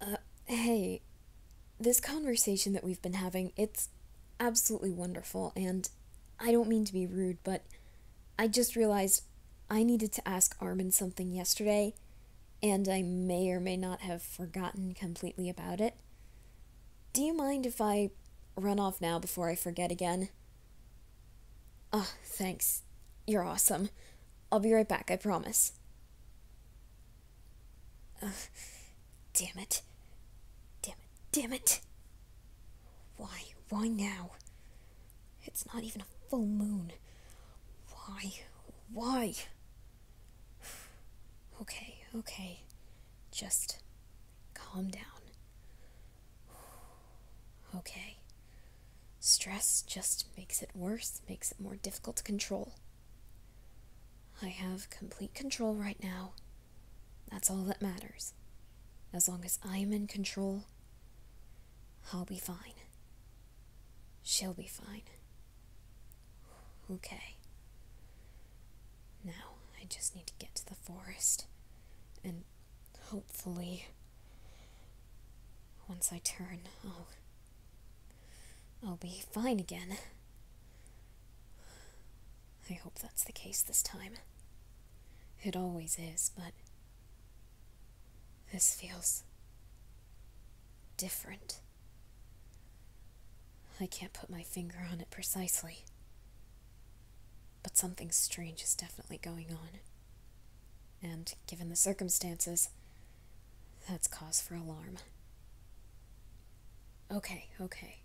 Uh, hey, this conversation that we've been having, it's absolutely wonderful, and I don't mean to be rude, but I just realized I needed to ask Armin something yesterday, and I may or may not have forgotten completely about it. Do you mind if I run off now before I forget again? Ah, oh, thanks. You're awesome. I'll be right back, I promise damn it. Damn it. Damn it. Why? Why now? It's not even a full moon. Why? Why? Okay, okay. Just calm down. Okay. Stress just makes it worse, makes it more difficult to control. I have complete control right now. That's all that matters. As long as I'm in control, I'll be fine. She'll be fine. Okay. Now, I just need to get to the forest. And hopefully, once I turn, i I'll be fine again. I hope that's the case this time. It always is, but this feels different. I can't put my finger on it precisely, but something strange is definitely going on. And given the circumstances, that's cause for alarm. Okay, okay.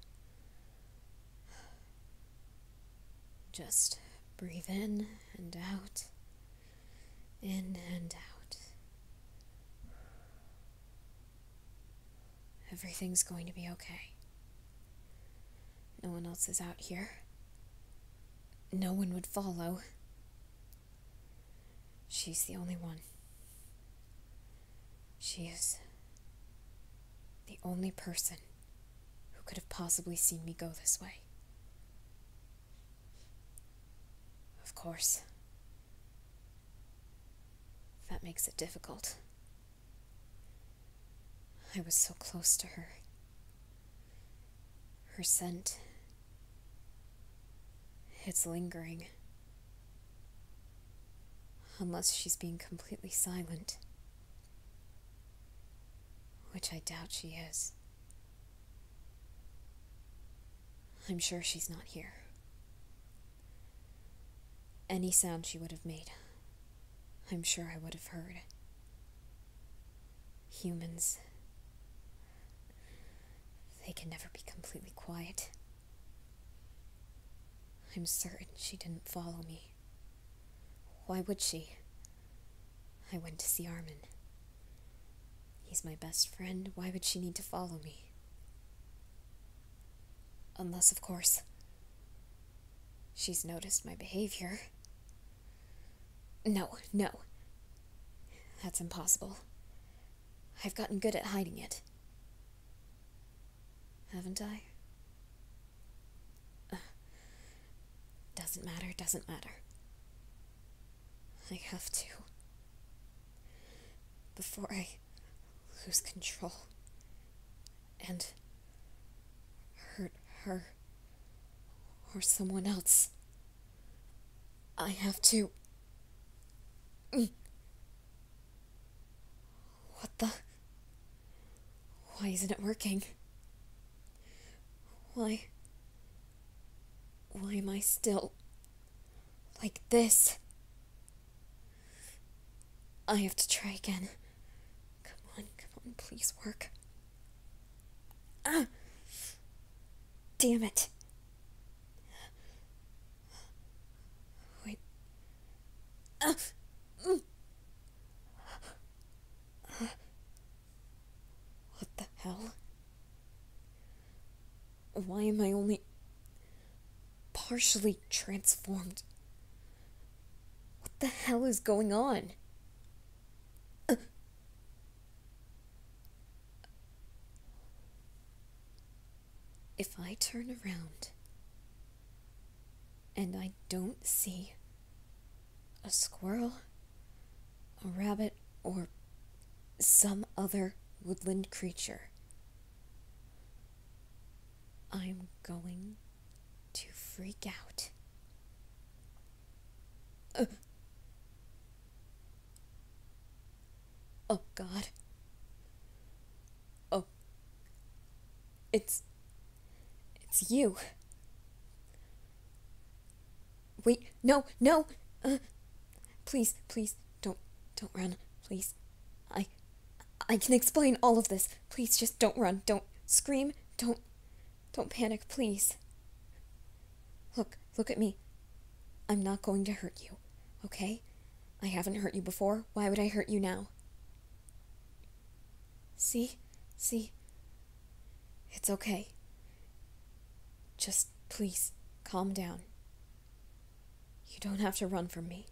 Just breathe in and out, in and out. Everything's going to be okay. No one else is out here no one would follow. She's the only one. She is the only person who could have possibly seen me go this way. Of course, that makes it difficult. I was so close to her. Her scent. It's lingering. Unless she's being completely silent. Which I doubt she is. I'm sure she's not here. Any sound she would have made, I'm sure I would have heard humans. They can never be completely quiet. I'm certain she didn't follow me. Why would she? I went to see Armin. He's my best friend. Why would she need to follow me? Unless, of course, she's noticed my behavior. No, no. That's impossible. I've gotten good at hiding it. Haven't I? Uh, doesn't matter, doesn't matter. I have to. Before I lose control and hurt her or someone else. I have to. What the? Why isn't it working? Why? Why am I still like this? I have to try again. Come on, come on, please work. Ah! Damn it. Wait. Ah! Mm. What the hell? Why am I only partially transformed? What the hell is going on? If I turn around and I don't see a squirrel, a rabbit, or some other woodland creature, I'm going to freak out. Uh. Oh, God. Oh. It's. It's you. Wait, no, no! Uh, please, please, don't, don't run, please. I. I can explain all of this. Please just don't run. Don't scream. Don't. Don't panic, please. Look, look at me. I'm not going to hurt you, okay? I haven't hurt you before. Why would I hurt you now? See? See? It's okay. Just please calm down. You don't have to run from me.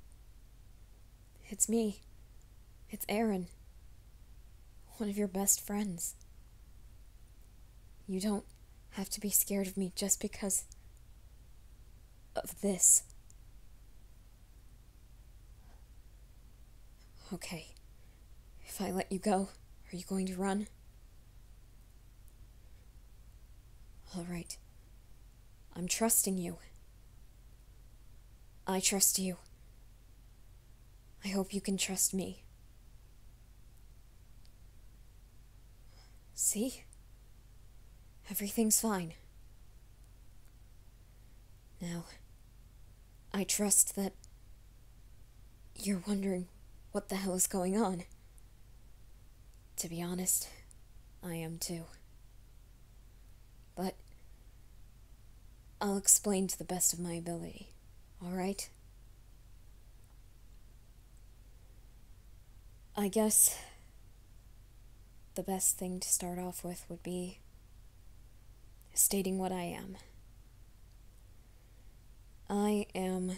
It's me. It's Aaron. One of your best friends. You don't have to be scared of me just because of this. Okay. If I let you go, are you going to run? All right. I'm trusting you. I trust you. I hope you can trust me. See? Everything's fine. Now, I trust that you're wondering what the hell is going on. To be honest, I am too but I'll explain to the best of my ability, all right? I guess the best thing to start off with would be stating what I am. I am,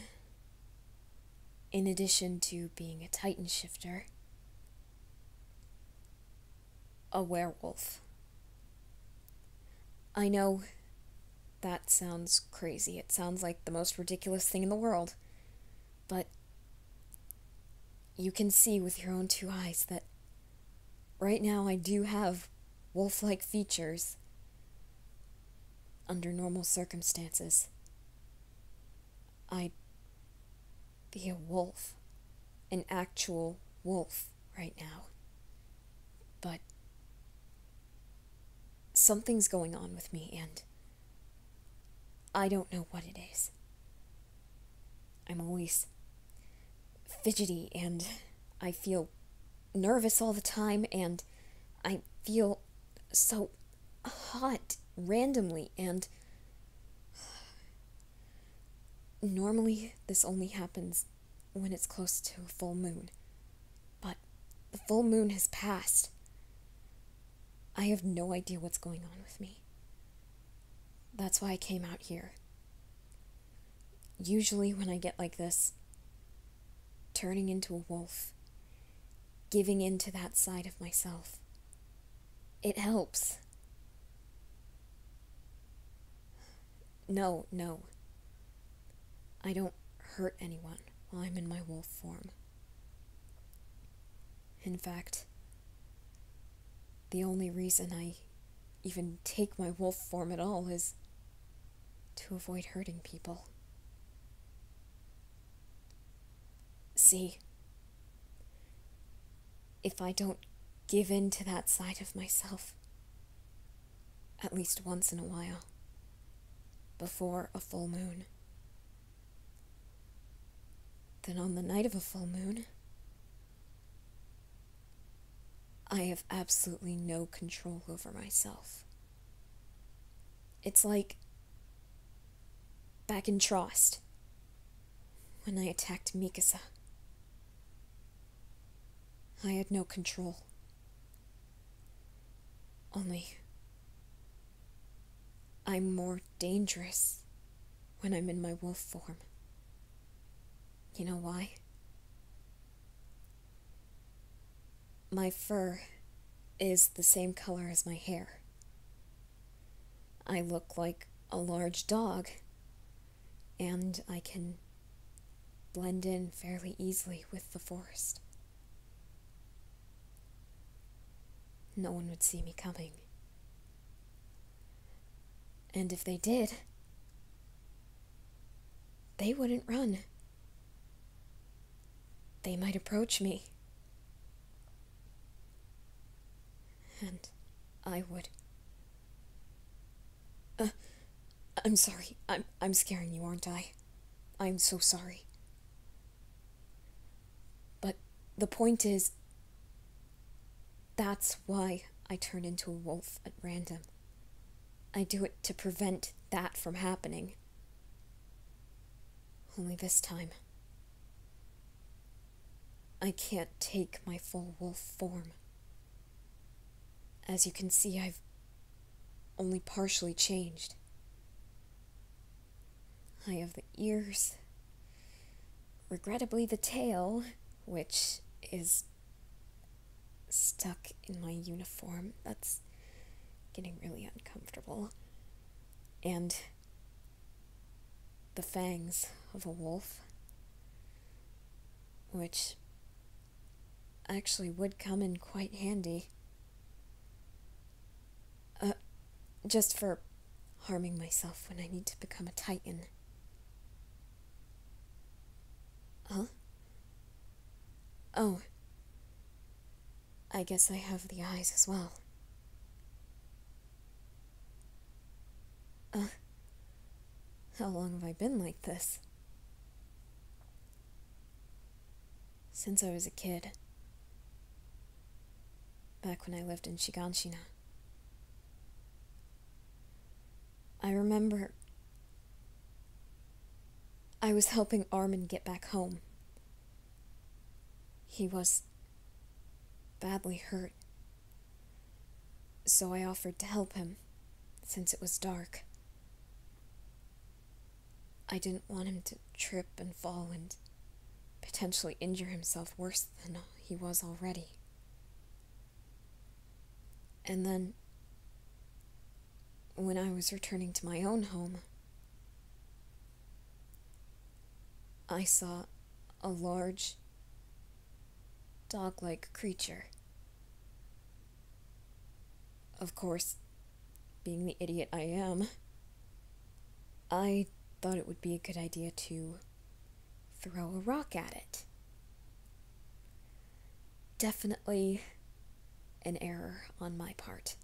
in addition to being a Titan shifter, a werewolf. I know that sounds crazy. It sounds like the most ridiculous thing in the world. But you can see with your own two eyes that right now I do have wolf like features under normal circumstances. I be a wolf, an actual wolf right now. But something's going on with me, and I don't know what it is. I'm always fidgety, and I feel nervous all the time, and I feel so hot randomly, and Normally, this only happens when it's close to a full moon, but the full moon has passed. I have no idea what's going on with me. That's why I came out here. Usually, when I get like this, turning into a wolf, giving in to that side of myself, it helps. No, no. I don't hurt anyone while I'm in my wolf form. In fact, the only reason I even take my wolf form at all is to avoid hurting people. See, if I don't give in to that side of myself at least once in a while before a full moon. Then on the night of a full moon, I have absolutely no control over myself. It's like back in Trost when I attacked Mikasa. I had no control. Only, I'm more dangerous when I'm in my wolf form. You know why? My fur is the same color as my hair. I look like a large dog, and I can blend in fairly easily with the forest. No one would see me coming. And if they did, they wouldn't run. They might approach me and I would. Uh, I'm sorry. I'm I'm scaring you, aren't I? I'm so sorry. But the point is that's why I turn into a wolf at random. I do it to prevent that from happening. Only this time, I can't take my full wolf form. As you can see, I've only partially changed. I have the ears, regrettably, the tail, which is stuck in my uniform. That's getting really uncomfortable. And the fangs of a wolf, which actually would come in quite handy. Uh, just for harming myself when I need to become a titan. Huh? Oh. I guess I have the eyes as well. Uh, how long have I been like this? Since I was a kid. Back when I lived in Shiganshina. I remember I was helping Armin get back home. He was badly hurt, so I offered to help him since it was dark. I didn't want him to trip and fall and potentially injure himself worse than he was already. And then, when I was returning to my own home, I saw a large, dog like creature. Of course, being the idiot I am, I thought it would be a good idea to throw a rock at it. Definitely an error on my part.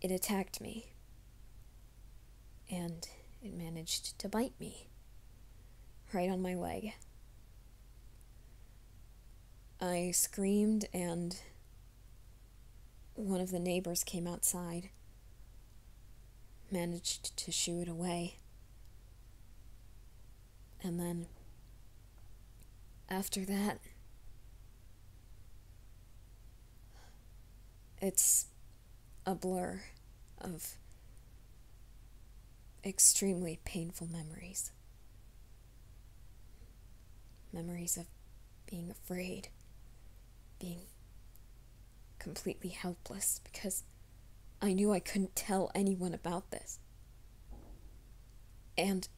It attacked me. And it managed to bite me. Right on my leg. I screamed, and one of the neighbors came outside. Managed to shoo it away. And then, after that, it's a blur of extremely painful memories. Memories of being afraid, being completely helpless because I knew I couldn't tell anyone about this. And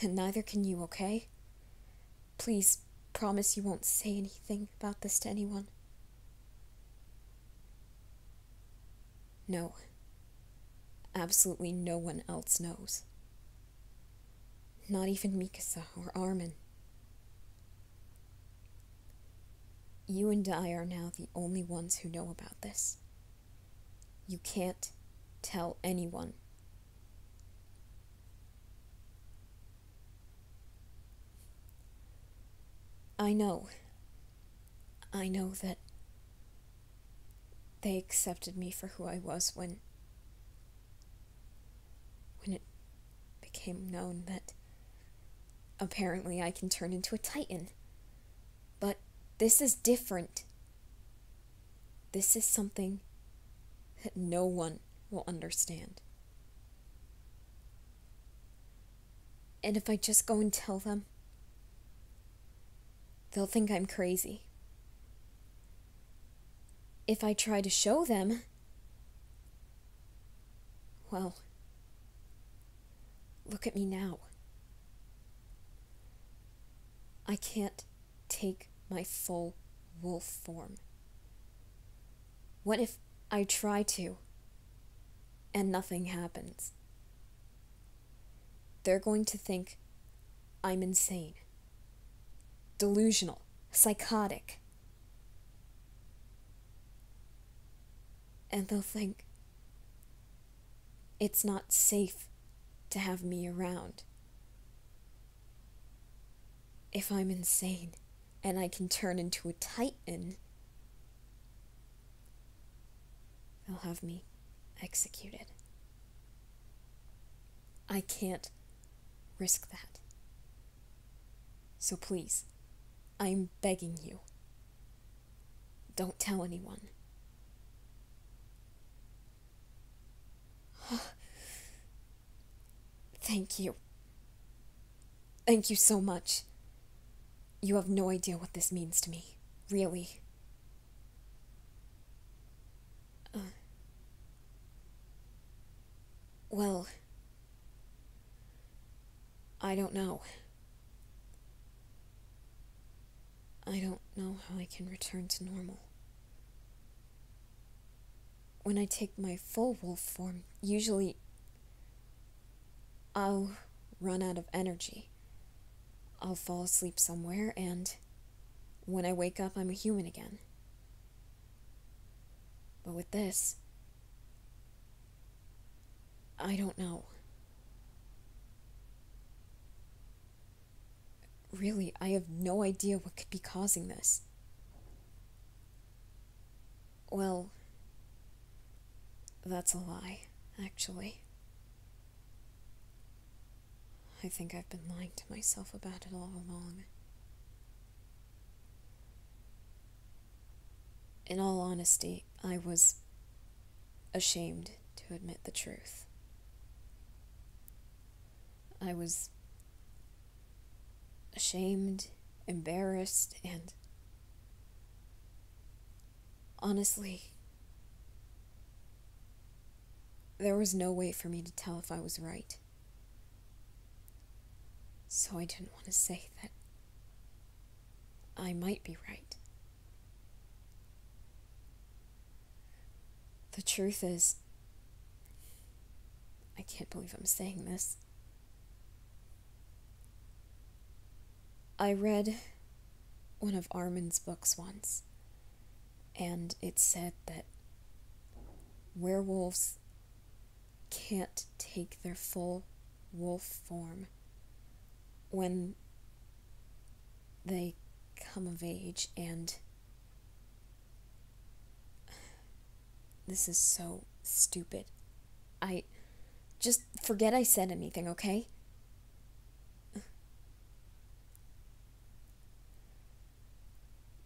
and neither can you, okay? Please promise you won't say anything about this to anyone. No. Absolutely no one else knows. Not even Mikasa or Armin. You and I are now the only ones who know about this. You can't tell anyone. I know. I know that they accepted me for who I was when when it became known that apparently I can turn into a titan. But this is different. This is something that no one will understand. And if I just go and tell them, they'll think I'm crazy. If I try to show them, well, Look at me now. I can't take my full wolf form. What if I try to and nothing happens? They're going to think I'm insane, delusional, psychotic. And they'll think, it's not safe to have me around. If I'm insane and I can turn into a titan, they'll have me executed. I can't risk that. So please, I'm begging you, don't tell anyone. Thank you. Thank you so much. You have no idea what this means to me, really. Uh, well, I don't know. I don't know how I can return to normal. When I take my full wolf form, usually I'll run out of energy. I'll fall asleep somewhere, and when I wake up, I'm a human again. But with this, I don't know. Really, I have no idea what could be causing this. Well, that's a lie, actually. I think I've been lying to myself about it all along. In all honesty, I was ashamed to admit the truth. I was ashamed, embarrassed, and honestly, there was no way for me to tell if I was right. So I didn't want to say that I might be right. The truth is, I can't believe I'm saying this. I read one of Armin's books once, and it said that werewolves can't take their full wolf form when they come of age and this is so stupid i just forget i said anything okay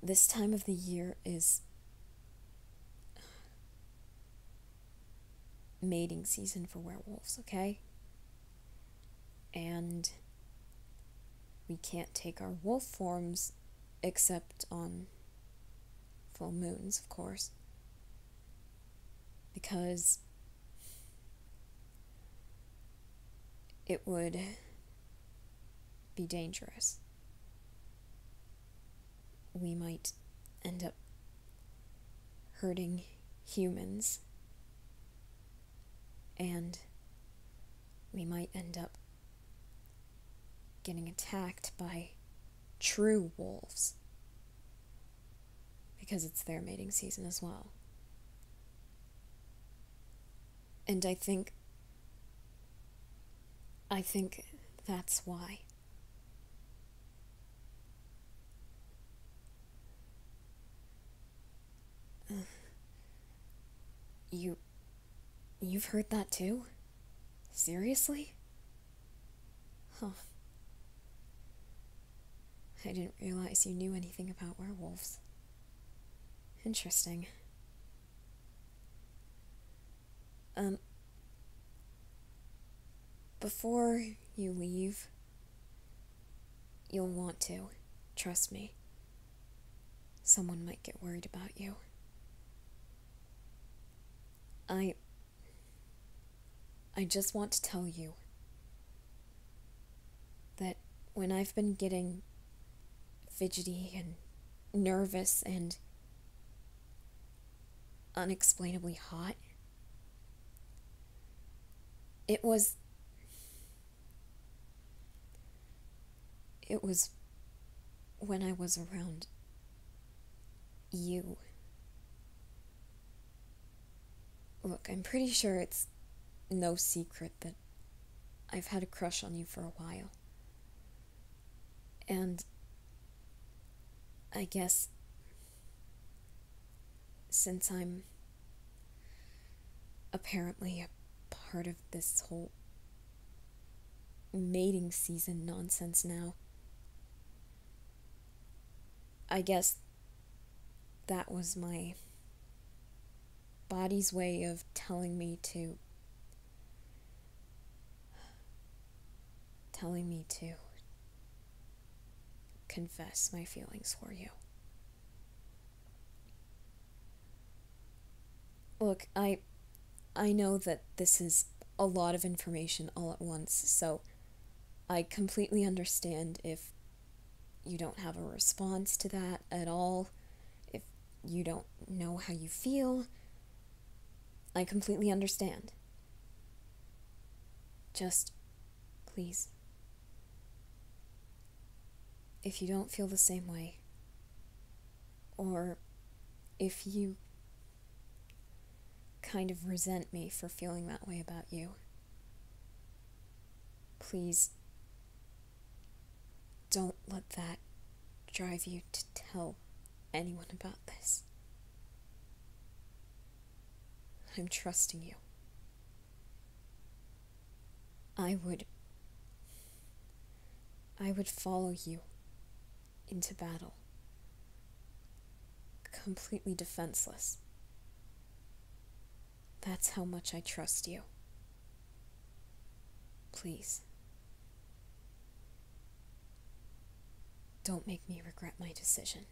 this time of the year is mating season for werewolves, okay? And we can't take our wolf forms except on full moons, of course. Because it would be dangerous we might end up hurting humans and we might end up getting attacked by true wolves because it's their mating season as well. And I think I think that's why you. You've heard that too? Seriously? Huh. I didn't realize you knew anything about werewolves. Interesting. Um, before you leave, you'll want to. Trust me. Someone might get worried about you. I. I just want to tell you that when I've been getting fidgety and nervous and unexplainably hot. It was. It was when I was around you. Look, I'm pretty sure it's no secret that I've had a crush on you for a while. And I guess since I'm apparently a part of this whole mating season nonsense now, I guess that was my body's way of telling me to telling me to confess my feelings for you. Look, I I know that this is a lot of information all at once, so I completely understand if you don't have a response to that at all, if you don't know how you feel, I completely understand. Just, please. If you don't feel the same way, or if you kind of resent me for feeling that way about you, please don't let that drive you to tell anyone about this. I'm trusting you. I would. I would follow you into battle. Completely defenseless. That's how much I trust you. Please. Don't make me regret my decision.